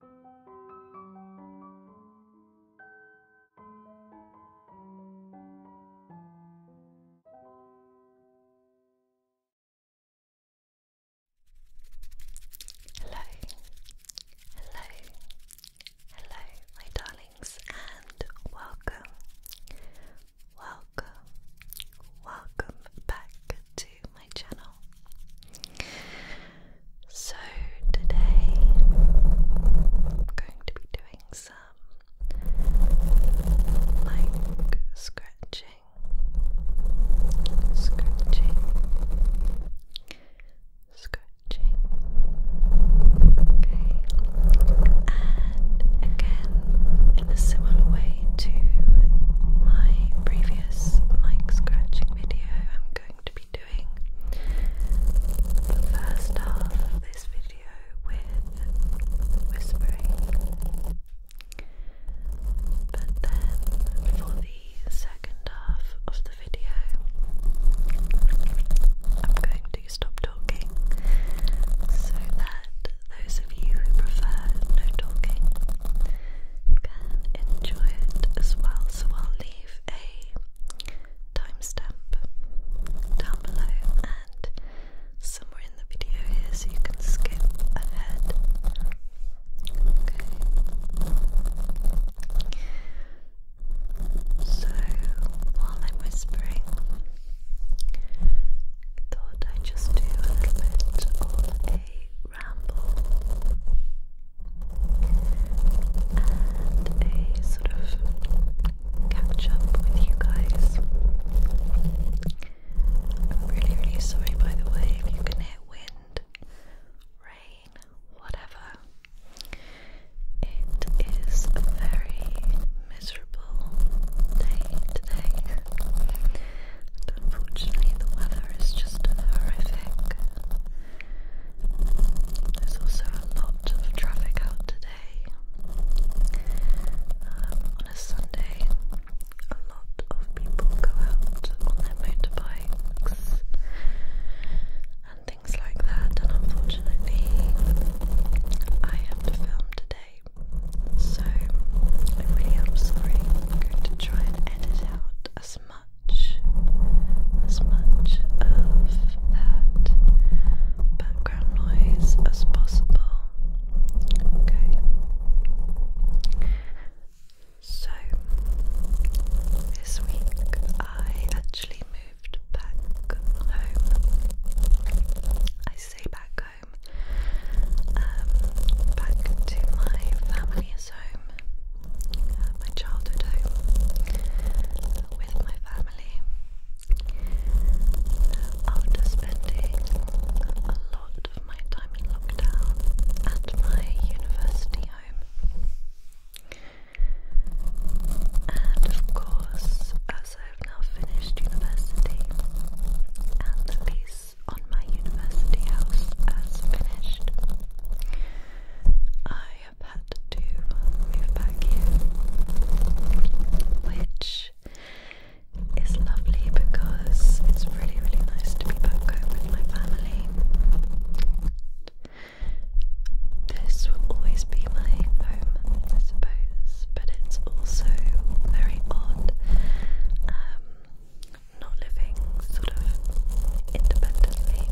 Hello, hello, hello, my darlings, and welcome, welcome, welcome back to my channel. So, today I'm going to be doing some like scratching, scratching, scratching. Okay, and again, in a similar way to my previous mic scratching video, I'm going to be doing the first half of this video with whispering, but then for the second half of the video, I'm going to stop talking so that those of you who prefer no talking can enjoy it as well. So I'll leave a timestamp down below and somewhere in the video here so you can skip ahead. So while I'm whispering, thought I'd just do a little bit of a ramble a sort of catch up with you guys. I'm really, really sorry by the way if you can hear wind, rain, whatever. It is a very miserable day today. unfortunately, the weather is just horrific. There's also a lot of traffic out today. Um, on a Sunday, a lot of people go out on their motorbikes and things like that, and unfortunately, I have to film today, so i really am sorry. I'm going to try and edit out as much as much of that background noise as possible. Okay. So, this week I actually moved back home. I say back home, um, back to my family mother's home, uh, my childhood home, with my family uh, after spending a lot of my time in lockdown at my university home. And of course, as I have now finished university and the lease thesis on my university house as finished. I have had to move back here, which is lovely because it's really, really nice to be back home with my family. This will always be my home, I suppose, but it's also very odd um, not living sort of independently.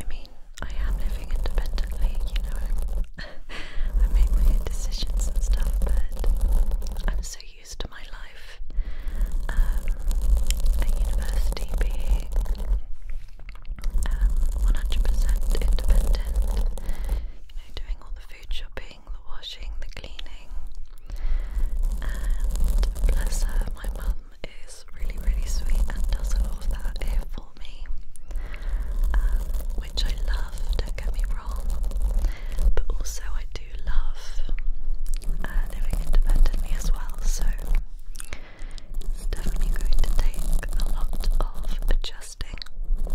I mean, I am living independently, you know, I make my own decisions and stuff, but I'm so used to my life um, at university being 100% um, independent, you know, doing all the food shopping, the washing, the cleaning. And my mum is really, really sweet and does all of that here for me, um, which I love, don't get me wrong, but also I do love uh, living independently as well, so it's definitely going to take a lot of adjusting. Um,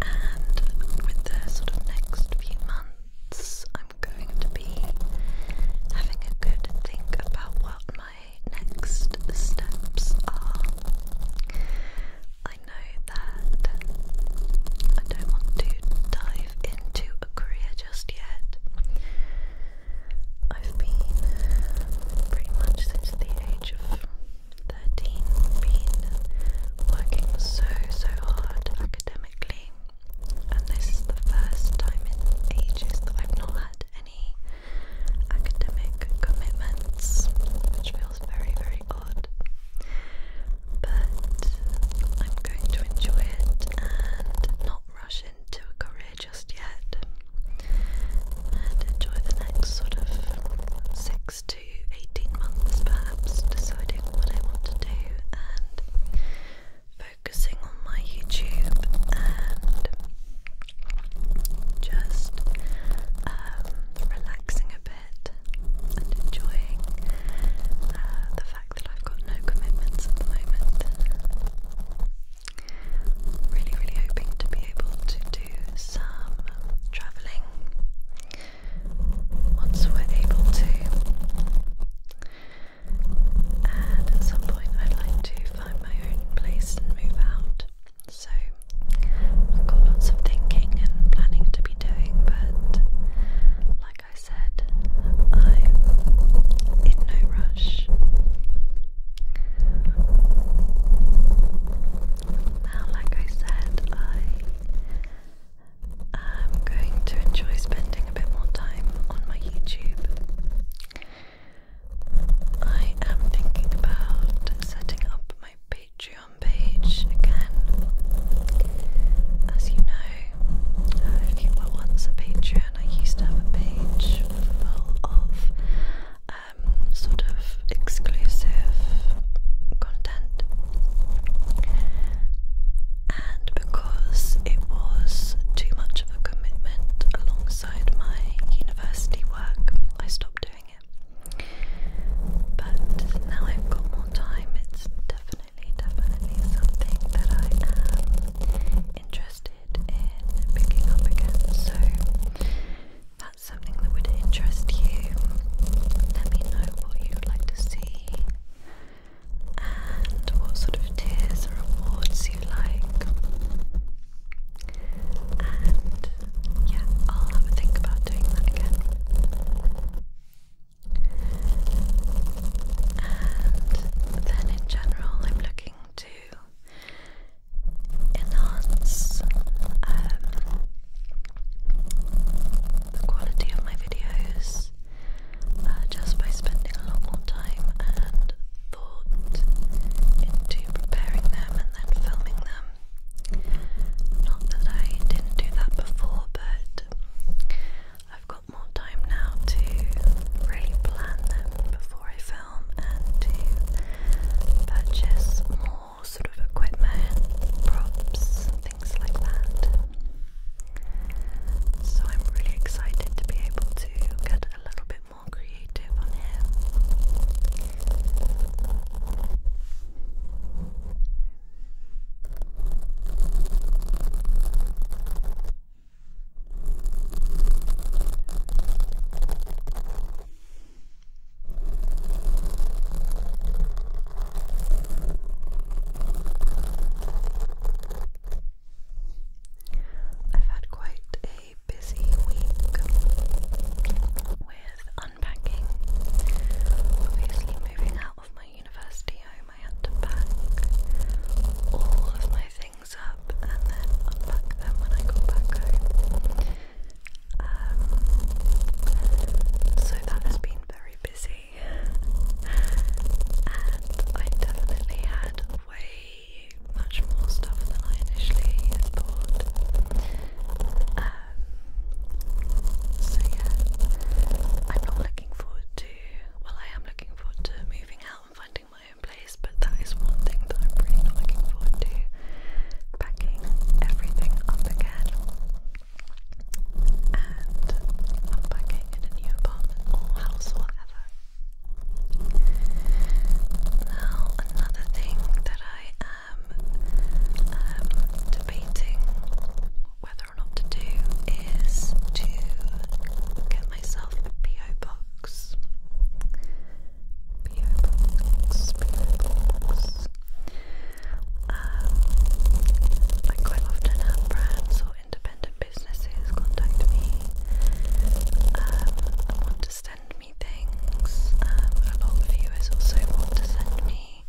um, and with the sort of next few months, I'm going to be having a good think about what my next steps are. I know that I don't want to dive into a career just yet. I've been pretty much since the age of 13 been working so, so hard academically, and this is the first time in ages that I've not had any academic commitments, which feels very, very odd. But I'm going to enjoy it and not rush into a career just yet and enjoy the next sort of six to 18 months perhaps deciding what I want to do and focusing on my YouTube and just um, relaxing a bit and enjoying uh, the fact that I've got no commitments at the moment. Really, really hoping to be able to do some travelling once we're able to. And at some point, I'd like to find my own place and move out. So I've got lots of thinking and planning to be doing, but like I said, I'm in no rush. Now, like I said, I I'm going to enjoy spending a bit more time on my YouTube. I am thinking about setting up my Patreon page again. As you know, uh, if once a Patreon, I used to have a page full of um, sort of exclusive content and because it was too much of a commitment alongside my university work, I stopped doing it. But now I've got more time, it's definitely, definitely something that I am interested in picking up again. So that's something that would interest you. Let me know what you'd like to see and what sort of tiers or awards you like. And yeah, I'll think about doing that again. And then in general, I'm looking to enhance um, the quality of my videos uh, just by spending a lot more time and thought into preparing them and then filming them. Not that I didn't do that before, but I've got more time now to really plan them before I film and to purchase more more sort of equipment, props, things like that. So I'm really excited to be able to get a little bit more creative on him. I've had quite a busy week with unpacking. Obviously, moving out of my university home, I had to pack all of my things up and then unpack them when I got back home. Um, so that has been very busy, and I definitely had way much more stuff than I initially thought. Um, so yeah, I'm not looking forward to. Well, I am looking forward to moving out and finding my own place, but that is one thing that I'm really not looking forward to. Packing everything up again and unpacking in a new apartment or house or whatever. Now, another thing that I am um, debating whether or not to do is to get myself a PO box. Um, quite often have brands or independent businesses contact me um, want to send me things. Um, a lot of viewers also want to send me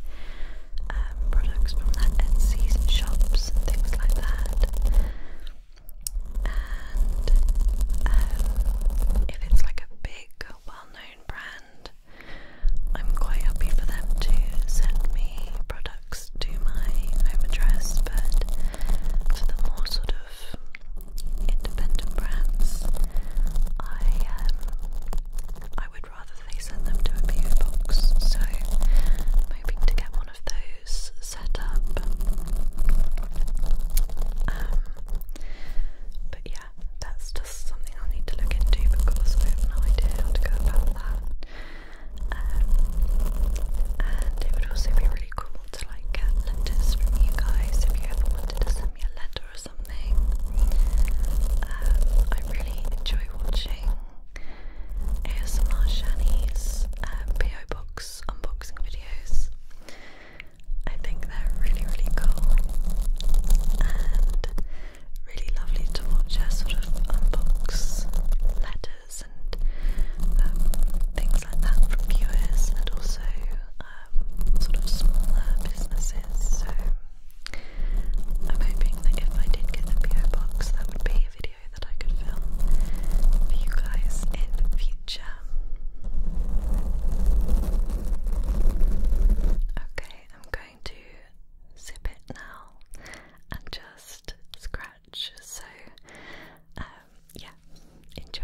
um, products from their Etsy's shops things like that. And um, like a big, well known brand, I'm quite happy for them to send me products to my home address, but for the more sort of independent brands, I um, I would rather they send them to a PO box. So hoping to get one of those set up. Um, but yeah, that's just something I'll need to look into because I have no idea how to go about that. Um, and it would also be really cool to like get letters from you guys if you ever wanted to send me a letter or something. Um, I really enjoy watching ASMR Shani's um, PO box unboxing videos. I think they're really, really cool, and really lovely to watch her sort of unbox letters and um, things like that from viewers and also um, sort of smaller businesses. So I'm hoping that if I did get the PO box, that would be a video that I could film for you guys in the future. Okay, I'm going to zip it now and just scratch. So, um, yeah, enjoy.